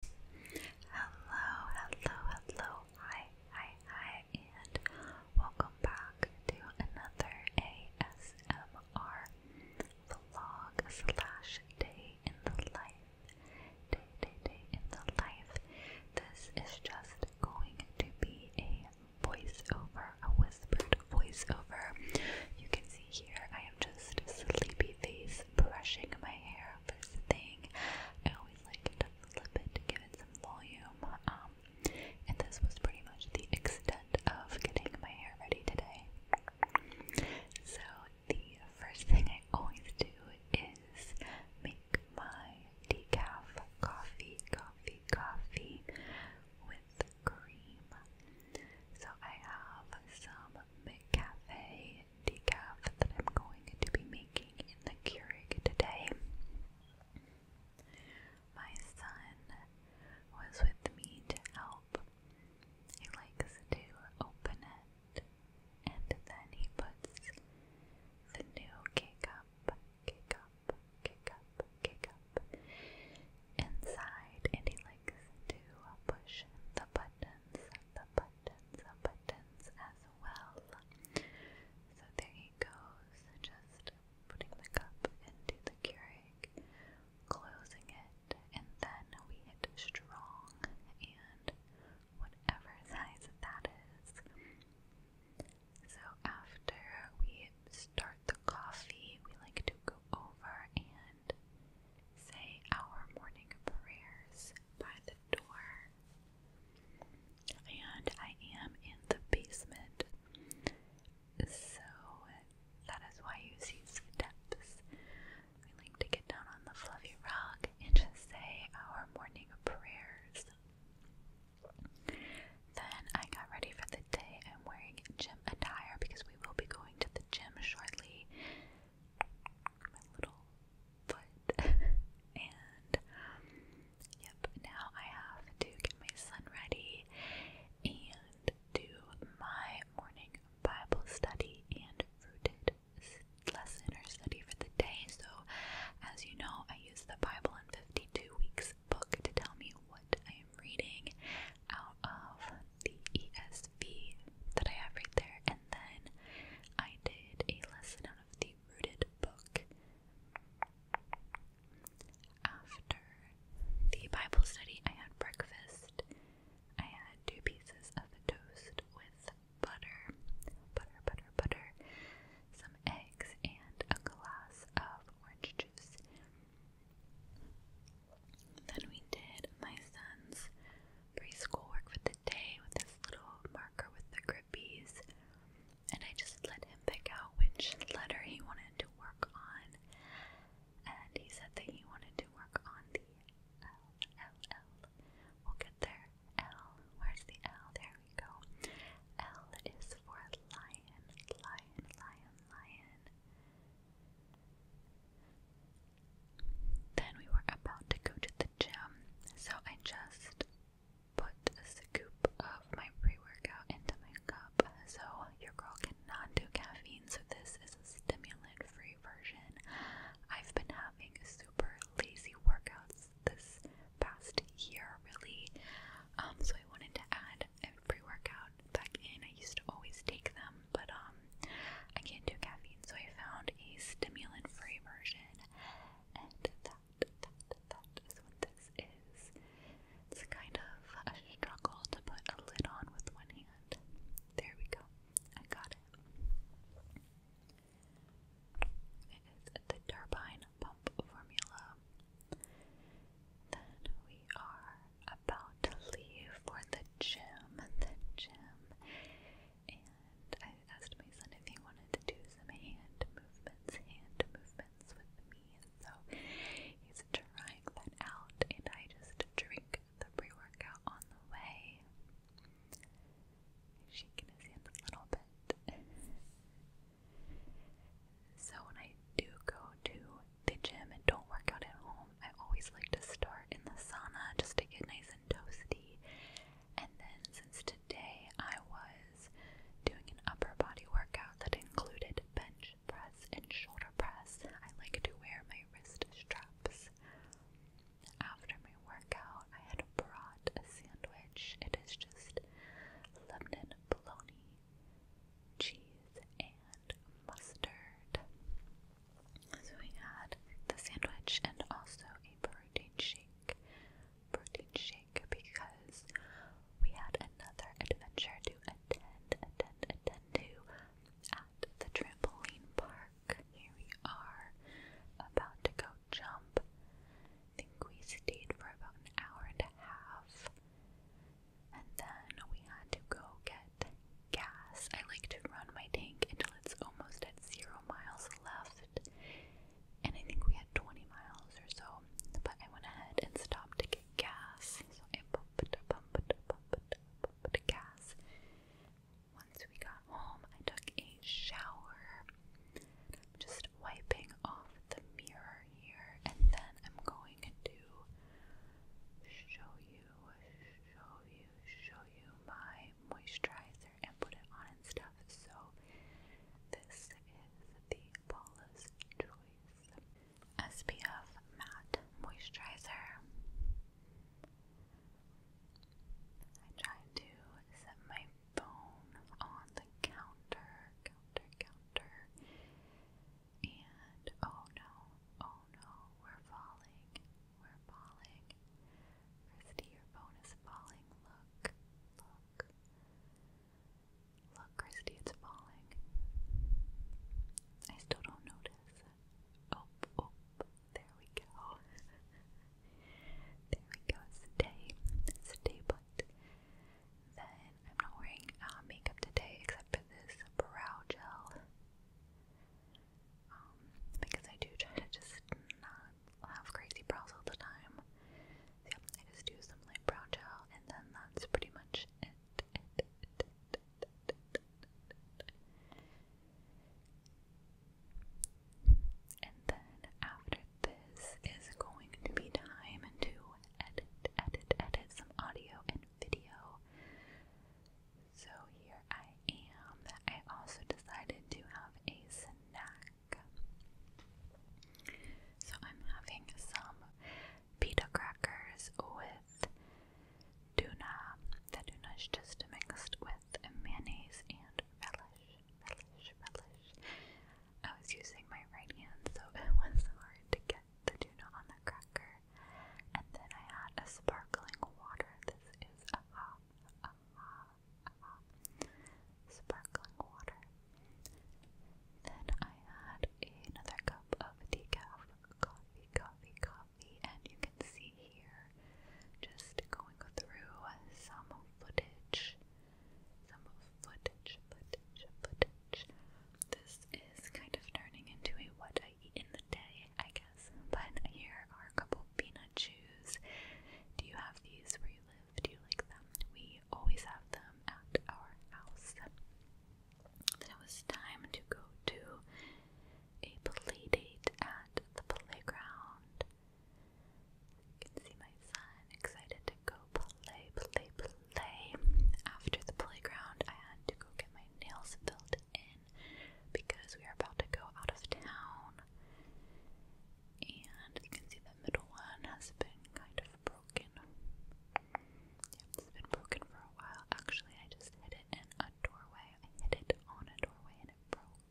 Hello, hello, hello, hi, hi, hi, and welcome back to another ASMR vlog slash day in the life. Day, day, day in the life. This is just going to be a voiceover, a whispered voiceover. You can see here I am just sleepy face brushing my hair first thing. I always like to flip it to give it some volume. Um, and this was pretty much the extent of getting my hair ready today. So the first thing I always do is make my decaf coffee, coffee, coffee with cream. So I have some McCafe decaf that I'm going to be making in the Keurig today. My son was with me to help. He likes to open it and then he puts the new cake up, cake up, inside and he likes to push the buttons the buttons, the buttons as well. So there he goes, just putting the cup into the Keurig, closing it, and then we hit strong, and whatever size that is. So after we start the coffee, we like to go over and say our morning prayers by the door. And I am in the basement, so that is why you see steps. We like to get down on the fluffy rug and just say our morning prayers. Then I got ready for the day. I'm wearing jeans gym attire because we will be going to the gym shortly. My little foot. and, yep, now I have to get my son ready and do my morning Bible study and rooted lesson or study for the day. So, as you know, I use the Bible in 52 Weeks book to tell me what I am reading out of the ESV that I have right there. And then I did a lesson out of the Rooted book after the Bible study. I had breakfast. I had two pieces of toast with butter, butter, butter, butter, some eggs, and a glass of orange juice. Then we did my son's preschool work for the day with this little marker with the grippies, and I just let him pick out which letter he wanted to work on. And he said that he wanted to work on the L, L, L. We'll get there. L. Where's the L? There we go. L is for lion, lion, lion, lion. Then we were about to go to the gym, so I just put a scoop of my pre workout into my cup. So, your girl cannot do caffeine, so this is a stimulant free version. I've been having super lazy workouts this past year, really. Um, so, I wanted to add a pre workout back in. I used to always take them, but um, I can't do caffeine, so I found a stimulant-free version, and that that that is what this is. It's kind of a struggle to put a lid on with one hand. There we go. I got it. It is the turbine pump formula. Then we are about to leave for the gym. The gym. And I asked my son if he wanted to do some hand movements, hand movements with me. so he's trying that out. And I just drink the pre workout on the way. Shaking his hands a little bit. So when I do go to the gym and don't work out at home, I always like to start in the sauna just to get nice and toasty. And then since today I was doing an upper body workout that included bench press and shoulder press, I like to wear my wrist straps. After my workout, I had brought a sandwich. It is just Lebanon bologna cheese, and mustard. So we had the sandwich and also a protein shake. Protein shake because we had another adventure to attend, attend, attend to at the trampoline park. Here we are about to go jump. think we stayed for about an hour and a half. And then we had to go get gas. I like to run my tank until it's almost at zero miles left. And I think we had 20 miles or so. But I went ahead and stopped to get gas. So I pumped, pumped, pumped, pumped gas. Once we got home, I took a shower just wiping off the mirror here, and then I'm going to show you, show you, show you my moisturizer and put it on and stuff. So, this is the Paula's Choice SPF Matte Moisturizer. I try to set my phone on the counter, counter, counter. And oh no, oh no, we're falling, we're falling. Christy, your phone is falling. Look, look, look, Christy, it's falling. I still don't notice. Oh, oh, there we go. there we go. Stay, stay put. Then I'm not wearing uh, makeup today except for this brow gel. Um, because I do try to just not have crazy brows all the time. So I just do some light brow gel and then that's pretty much it. And then after this is going to be time to edit, edit, edit some audio and video. So here I am. I also decided to have a snack. So I'm having some pita crackers with tuna. The tuna is just mixed with mayonnaise and relish relish, relish. I was using my right hand, so it was hard to get the tuna on the cracker. And then I had a sparkling water. This is aha, aha, aha. Sparkling water. Then I had another cup of decaf coffee, coffee, coffee, and you can see here just going through some footage some footage, footage, footage. This is kind of turning into a what I eat in the day, I guess. But here are a couple peanut chews. Do you have these where you live? Do you like them? We always have them at our house. Then it was time to go to a play at the playground. You can see my son excited to go play, play, play. After the playground, I had to go get my nails filled in because we are about to go out of town. And you can see the middle one has been kind of broken. Yeah, it's been broken for a while. Actually, I just hit it in a doorway. I hit it on a doorway and it broke.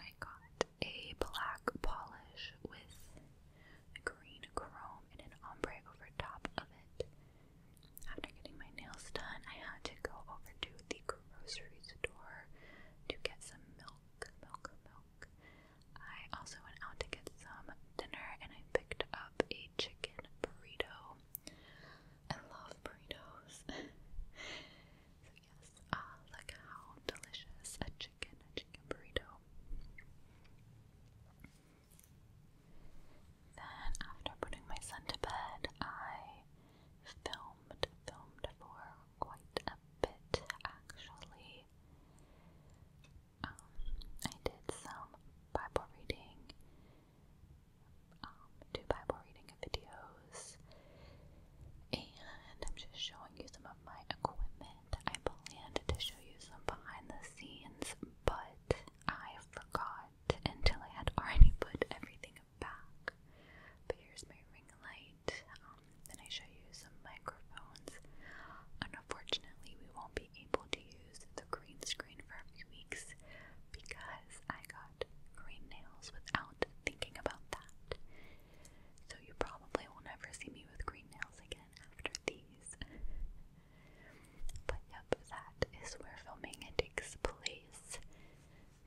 I got a black polish with green chrome and an ombre over top of it. After getting my nails done, I had to go over to the grocery store to get some milk, milk, milk. I also went out to get some dinner and I picked up a chicken burrito. I love burritos. so yes, ah, look how delicious a chicken, a chicken burrito. Then after putting my son to bed, I filmed, filmed for quite a bit actually. Um, I did some Bible reading um, do Bible reading videos, and I'm just showing you some of my equipment. I planned to show you some behind the scenes, but I forgot until I had already put everything back. But here's my ring light. Um, then I show you some microphones. unfortunately, we won't be able to use use the green screen for a few weeks because I got green nails without thinking about that. So you probably will never see me with green nails again after these. but yep, that is where filming takes place.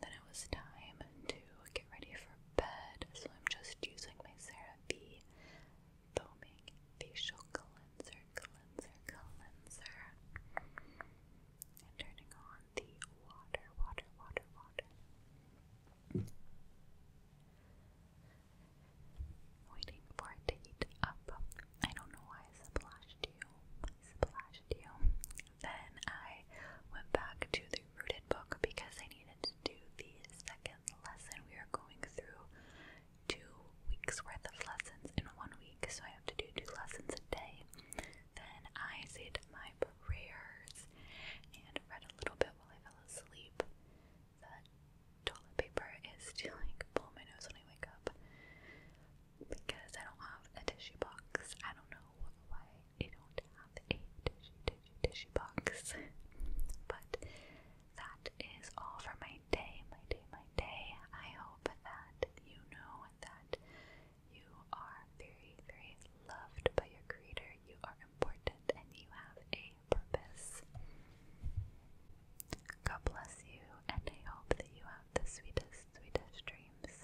Then it was time to get ready for bed, so I'm just using my Sarah V foaming facial cleanser cleanser, cleanser, cleanser. And turning on the water, water, water, water. Waiting for it to heat up. I don't know why I splashed you. splashed you. Then I went back to the rooted book because I needed to do the second lesson. We are going through two weeks worth of lessons in one week, so I have to do two lessons a day. Then I said my prayers and read a little bit while I fell asleep. The toilet paper is still like pulling my nose when I wake up because I don't have a tissue box. I don't know why I don't have a tissue, tissue, tissue box. but that is all for my day, my day, my day. I hope that you know that you are very, very loved by your Creator. You are important and you have a purpose. God bless you, and I hope that you have the sweetest, sweetest dreams.